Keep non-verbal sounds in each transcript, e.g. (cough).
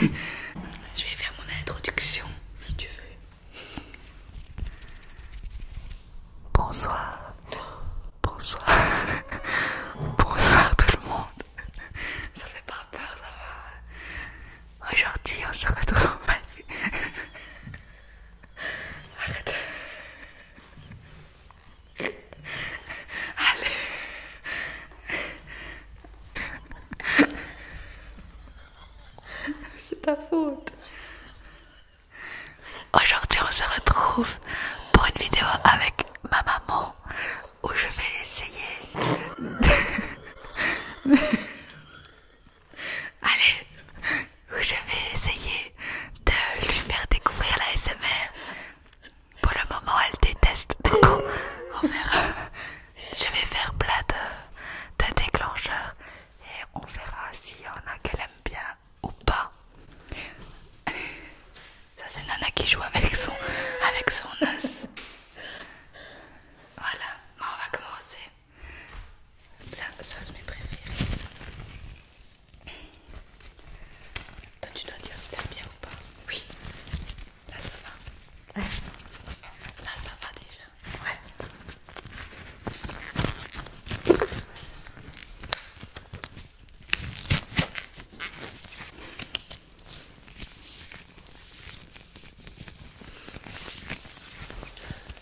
Je vais faire mon introduction si tu veux. Bonsoir. Bonsoir. (laughs) Bonsoir tout le monde. Ça fait pas peur, ça va. Aujourd'hui, on se retrouve. (laughs) Arrête. Allez. C'est ta faute. Aujourd'hui, on se retrouve pour une vidéo avec ma maman où je vais essayer. (laughs) Allez, je vais essayer de lui faire découvrir la SMR. Pour le moment, elle déteste. tout on verra. Je vais faire plat de, déclencheurs déclencheur et on verra s'il y en a qu'elle aime bien ou pas. Ça, c'est Nana qui joue avec son, avec son os. Voilà, on va commencer. Ça, ça c'est mes préférés. Toi, tu dois dire si t'aimes bien ou pas. Oui. Là, ça va. Là, ça va déjà. Ouais.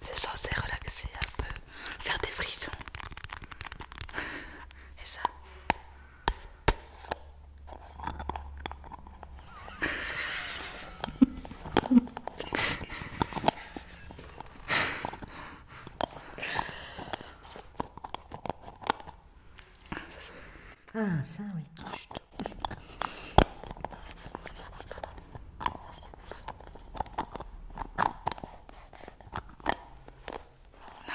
C'est censé relaxer un peu, faire des frissons. Et ça. Ah ça oui. Non.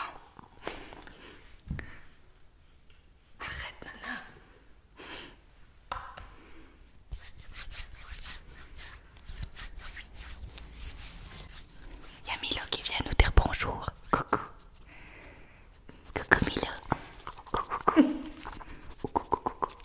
Arrête, Nana. Il y a Milo qui vient nous dire bonjour. Coucou. Coucou Milo. Coucou coucou. coucou, coucou.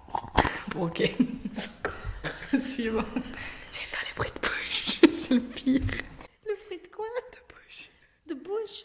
(laughs) ok. (laughs) Suivant. Je vais faire les bruits de bouche, (laughs) c'est le pire. Le bruit de quoi De bouche. De bouche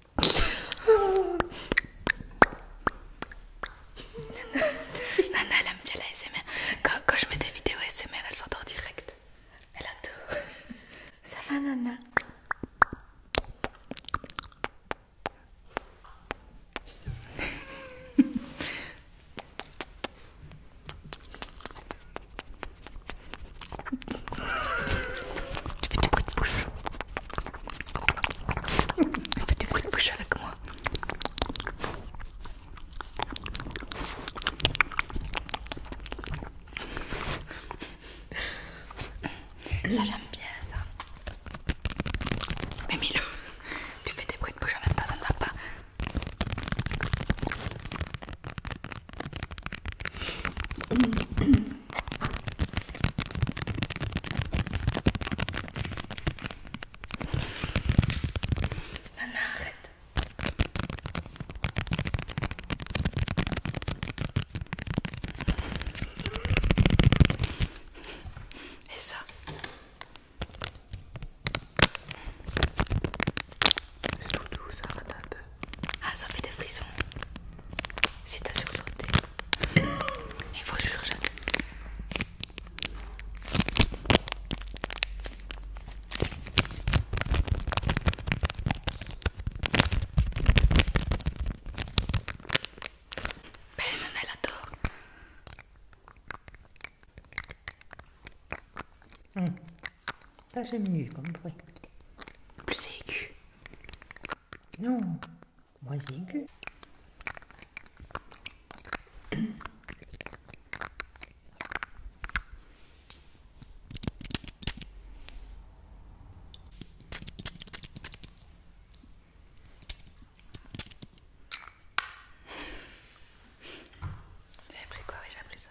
(laughs) Nana, elle aime bien la Quand, je mets des vidéos SMR, elle s'entend direct. Elle adore. (laughs) Ça va, Nana Tu fais bouche. Fais des bruits de bouche avec moi. Ça j'aime bien ça. Mais Milou, tu fais des bruits de bouche en même ça ne va pas. La arrête. Et ça C'est tout doux, ça arrête un peu. Ah, ça fait des frissons si t'as sursauté. Il faut que je sursauter. Ben, elle adore. Mmh. Ça, j'aime mieux comme bruit. Plus aigu. Non, moi j'ai que... J'ai pris quoi j'ai pris ça.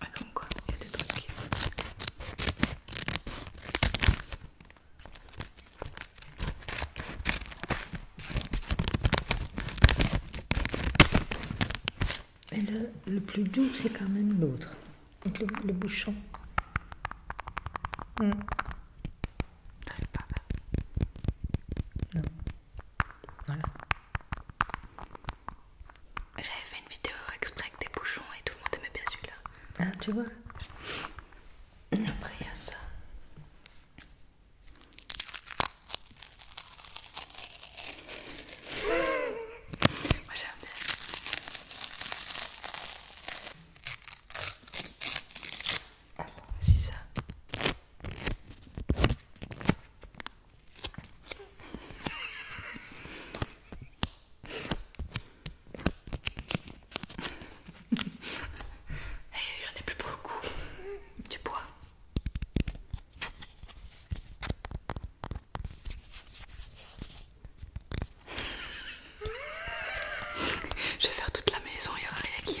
Ah, Et quoi, il y a des trucs qui... Mais le, le plus doux, c'est quand même l'autre, donc le bouchon. Hmm. T'arrives pas à Non. Voilà. J'avais fait une vidéo exprès avec des bouchons et tout le monde aimait bien celui-là. Ah, tu vois Après, il y a ça. Moi, j'aime bien. Oh, c'est ça. Eh, il en a plus beaucoup. Du bois. Je vais faire toute la maison, il y aura rien qui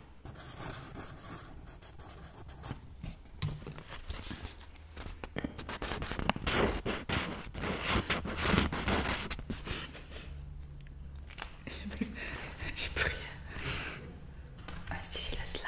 J'ai plus... rien. Ah si j'ai le slime.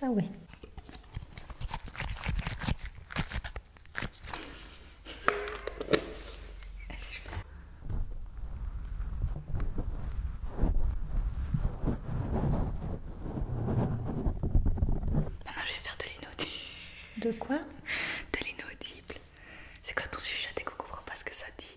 Ah oui. Maintenant je vais faire de l'inaudible. De quoi De l'inaudible. C'est quand on chuchote et qu'on comprend pas ce que ça dit.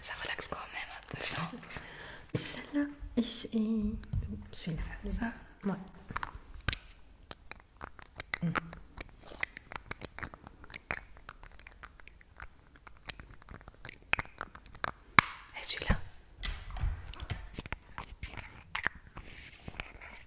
Ça relaxe quand même un peu, non Celle-là c'est... celui-là. Ça Ouais. Mmh. Et celui-là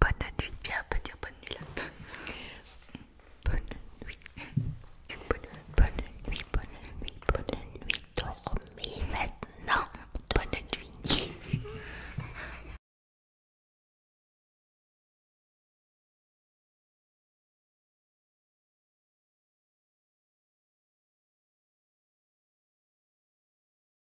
Bonne nuit. Viens, on peut dire bonne nuit là. Bonne nuit. Bonne, bonne nuit, bonne nuit, bonne nuit. Dormez maintenant. Bonne nuit. (laughs)